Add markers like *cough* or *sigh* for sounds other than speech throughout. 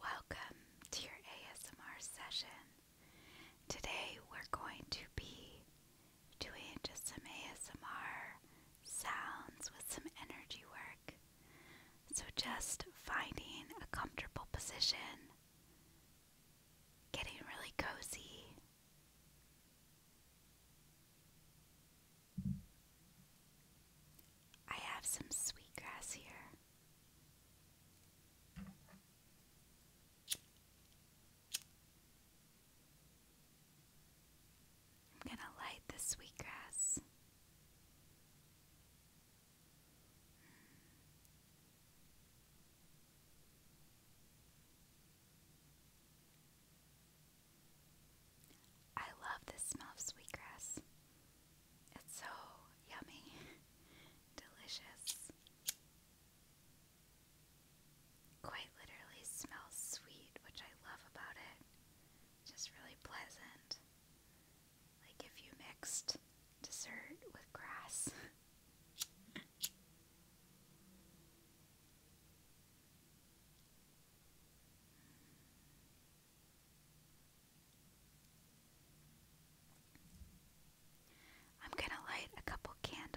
Welcome to your ASMR session. Today we're going to be doing just some ASMR sounds with some energy work. So, just finding a comfortable position, getting really cozy. I have some sweet grass here. I'm going to light the sweet I love the smell of sweetgrass. It's so yummy, delicious. Quite literally smells sweet, which I love about it. Just really pleasant. Like if you mixed dessert with grass. I'm going to light a couple candles.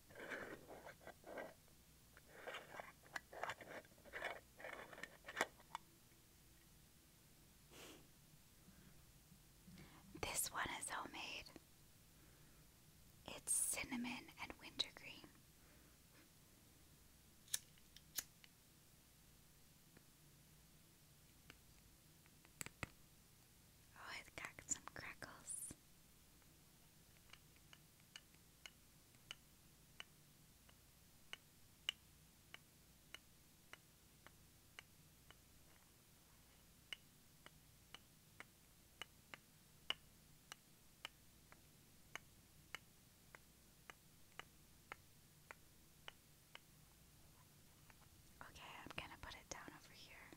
This one is homemade. It's cinnamon and wintergreen. Oh, it's got some crackles. Okay, I'm going to put it down over here.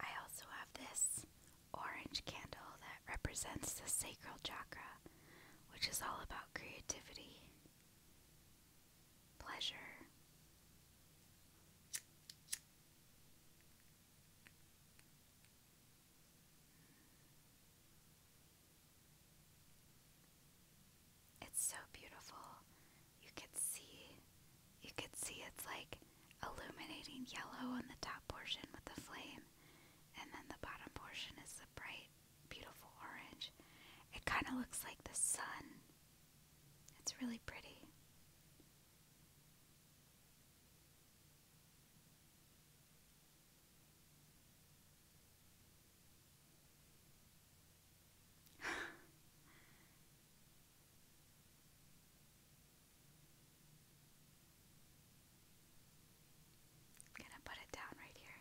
I also have this orange candle that represents the sacral chakra, which is all about creativity, pleasure. It's so beautiful. You could see you could see it's like illuminating yellow on the top portion with the flame and then the bottom portion is the bright beautiful orange. It kind of looks like the sun. It's really pretty. I'm gonna put it down right here.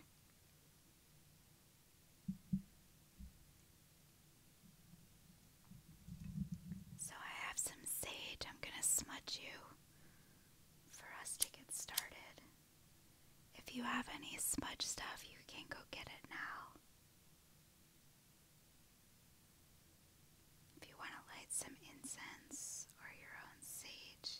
So I have some sage I'm gonna smudge you for us to get started. If you have any smudge stuff, you can go get it now. If you want to light some incense or your own sage.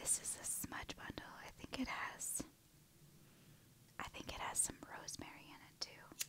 This is a smudge bundle. I think it has I think it has some rosemary in it too.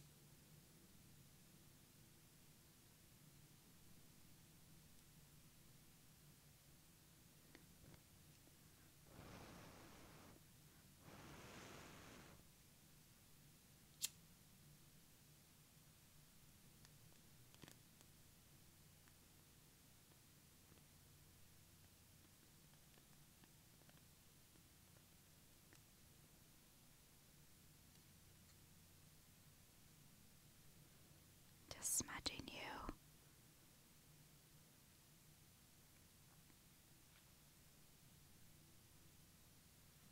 Just smudging you.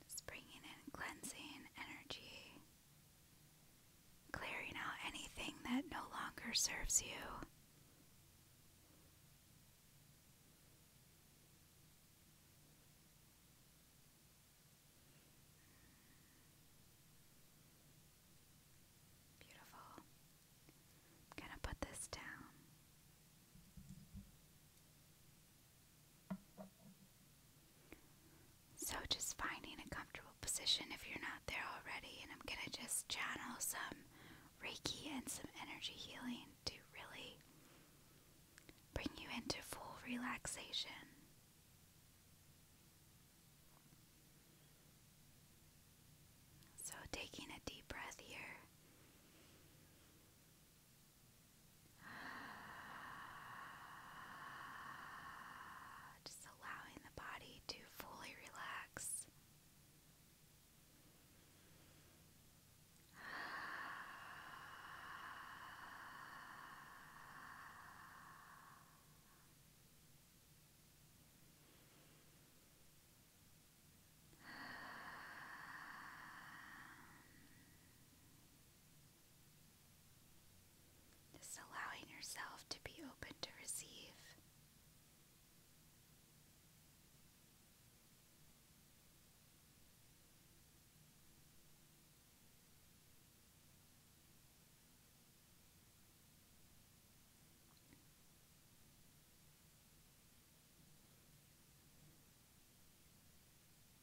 Just bringing cleansing energy clearing out anything that no longer serves you. Beautiful. going to put this down. So, just finding a comfortable position if you're not there already, and I'm gonna just channel some Reiki and some energy healing to really bring you into full relaxation. So, taking a deep breath here *sighs* Just allowing the body to fully relax. *sighs* *sighs* Just allowing yourself to be open to receive.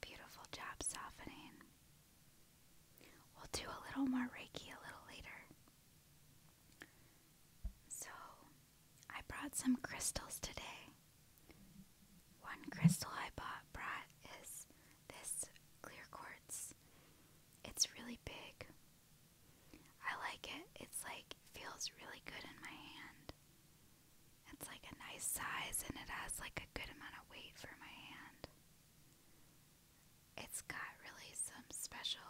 Beautiful job softening. We'll do a little more Reiki a little later. So, I brought some crystals today. One crystal I bought brought is this clear quartz. It's really big. I like it. It's like feels really good in my hand. It's like a nice size and it has like a good amount of weight for my hand. It's got really some special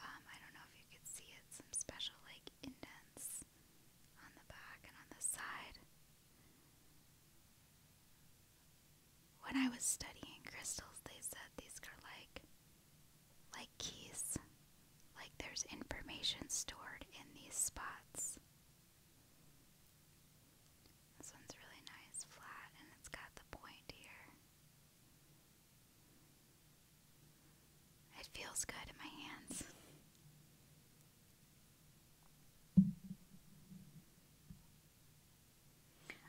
um, I don't know if you could see it, some special like indents on the back and on the side. When I was studying crystals, they said these are like like keys. Like there's information stored in these spots. This one's really nice, flat, and it's got the point here. It feels good in my hands.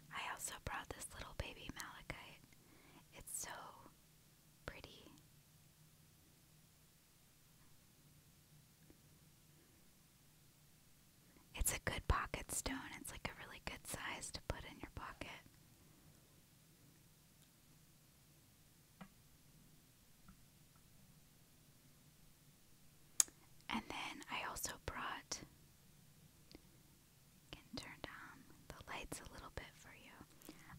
I also brought this little baby malachite. It's so pretty. It's a good pocket stone. It's like a really good size to put in your pocket. And then I also brought can turn down the lights a little bit for you.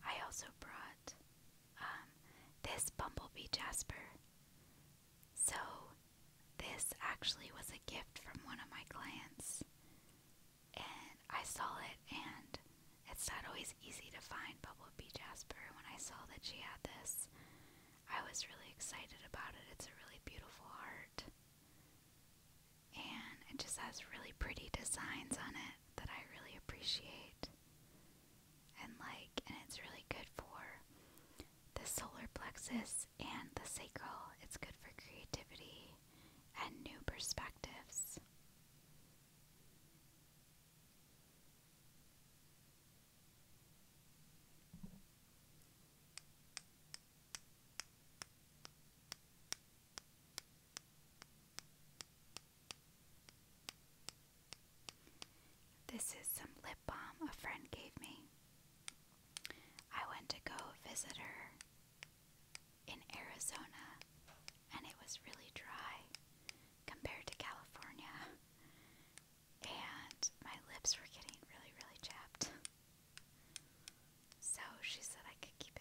I also brought um, this bumblebee jasper. So this actually was a gift from one of my clients and I saw it, and it's not always easy to find Bumblebee Jasper. When I saw that she had this, I was really excited about it. It's a really beautiful art, and it just has really pretty designs on it that I really appreciate and like, and it's really good for the solar plexus and the sacral. It's good for creativity and new perspectives. This is some lip balm a friend gave me. I went to go visit her in Arizona, and it was really dry compared to California, and my lips were getting really, really chapped. So she said I could keep it.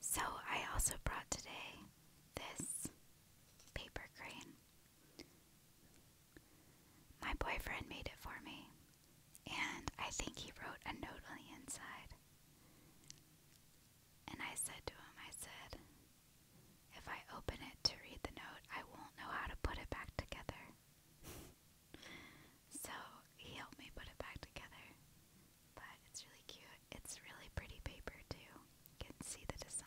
So, I also brought today this paper crane. My boyfriend made it for me, and I think he wrote a note on the inside. And I said to him, I said, if I open it to read the note, I won't know how to put it back together. *laughs* So he helped me put it back together. But it's really cute. It's really pretty paper too. You can see the design.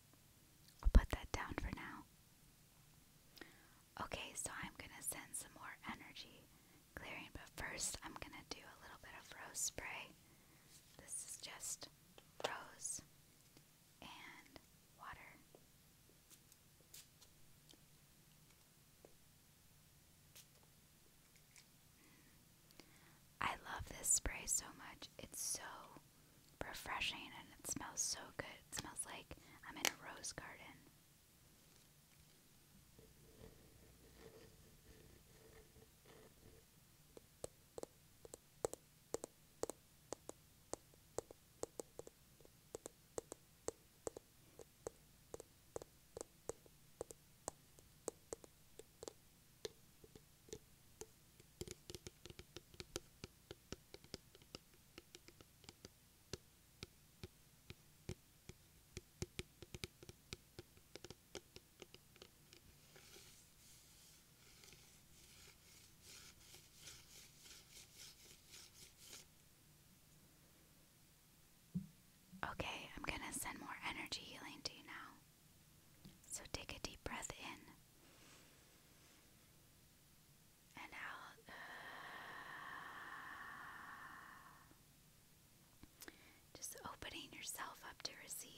I'll put that down for now. Okay, so I'm gonna send some more energy clearing, but first I'm gonna do a little bit of rose spray. This is just rose and water. Mm. I love this spray so much. It's so refreshing and it smells so good. It smells like I'm in a rose garden. Okay, I'm going to send more energy healing to you now. So take a deep breath in and out. Just opening yourself up to receive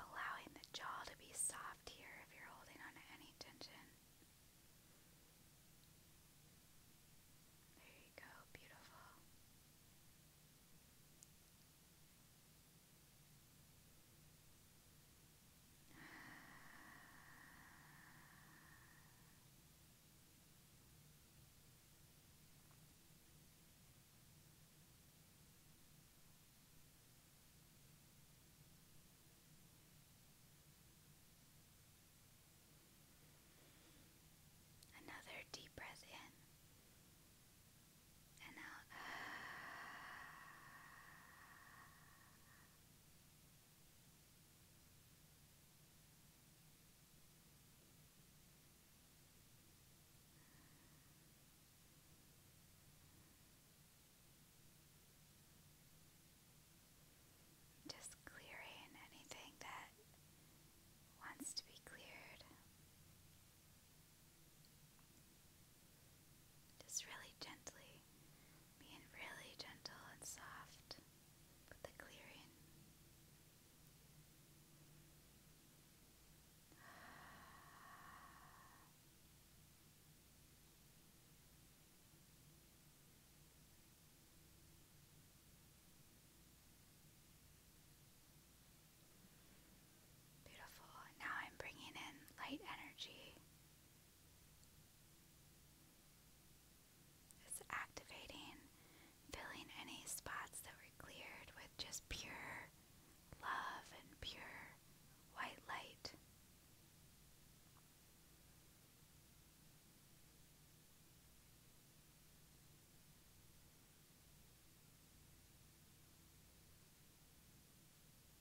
allowing the jaw to be soft here if you're holding on to any tension. There you go, beautiful. Another deep breath in and out. Just clearing anything that wants to be cleared. Just really gently, being really gentle and soft with the clearing. Just Beautiful. Now I'm bringing in light energy. It's activating, filling any spots that were cleared with just pure love and pure white light.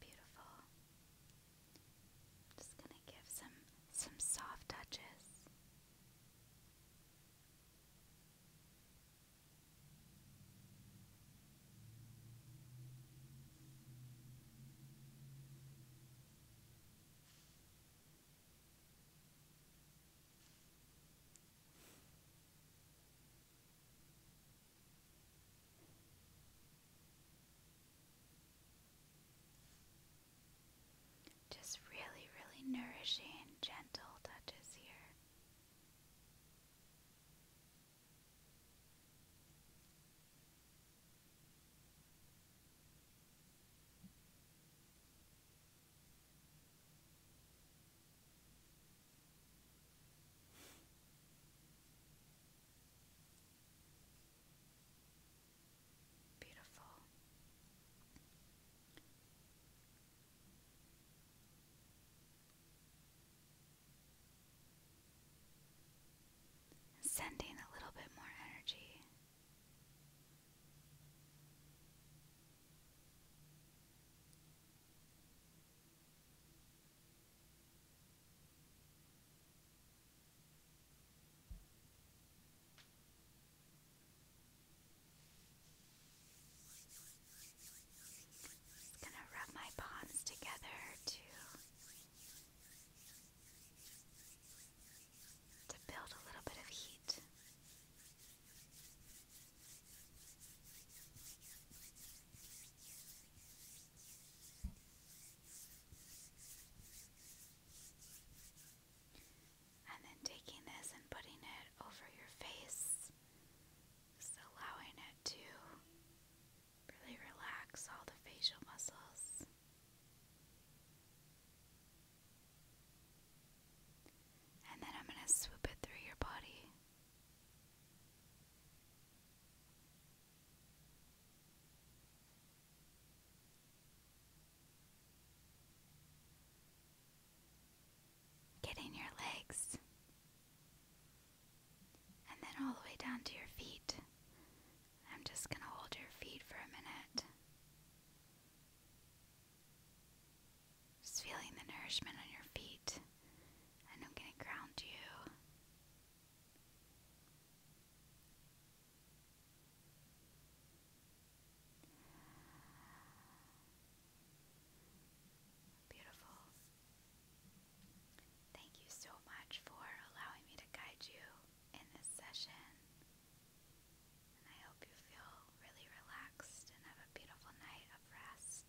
Beautiful. just gonna give some some soft touches. Just really, really nourishing, gentle touches here sending a little bit more energy. Just going to rub my palms together to to build a little bit of heat. And then taking this and putting it over your face, just allowing it to really relax all the facial muscles. And then I'm going to swoop it through your body. Get your legs. And then all the way down to your feet. I'm just going to hold your feet for a minute. Just feeling the nourishment on your feet. And I'm going to ground you Beautiful. Thank you so much for allowing me to guide you in this session. And I hope you feel really relaxed and have a beautiful night of rest.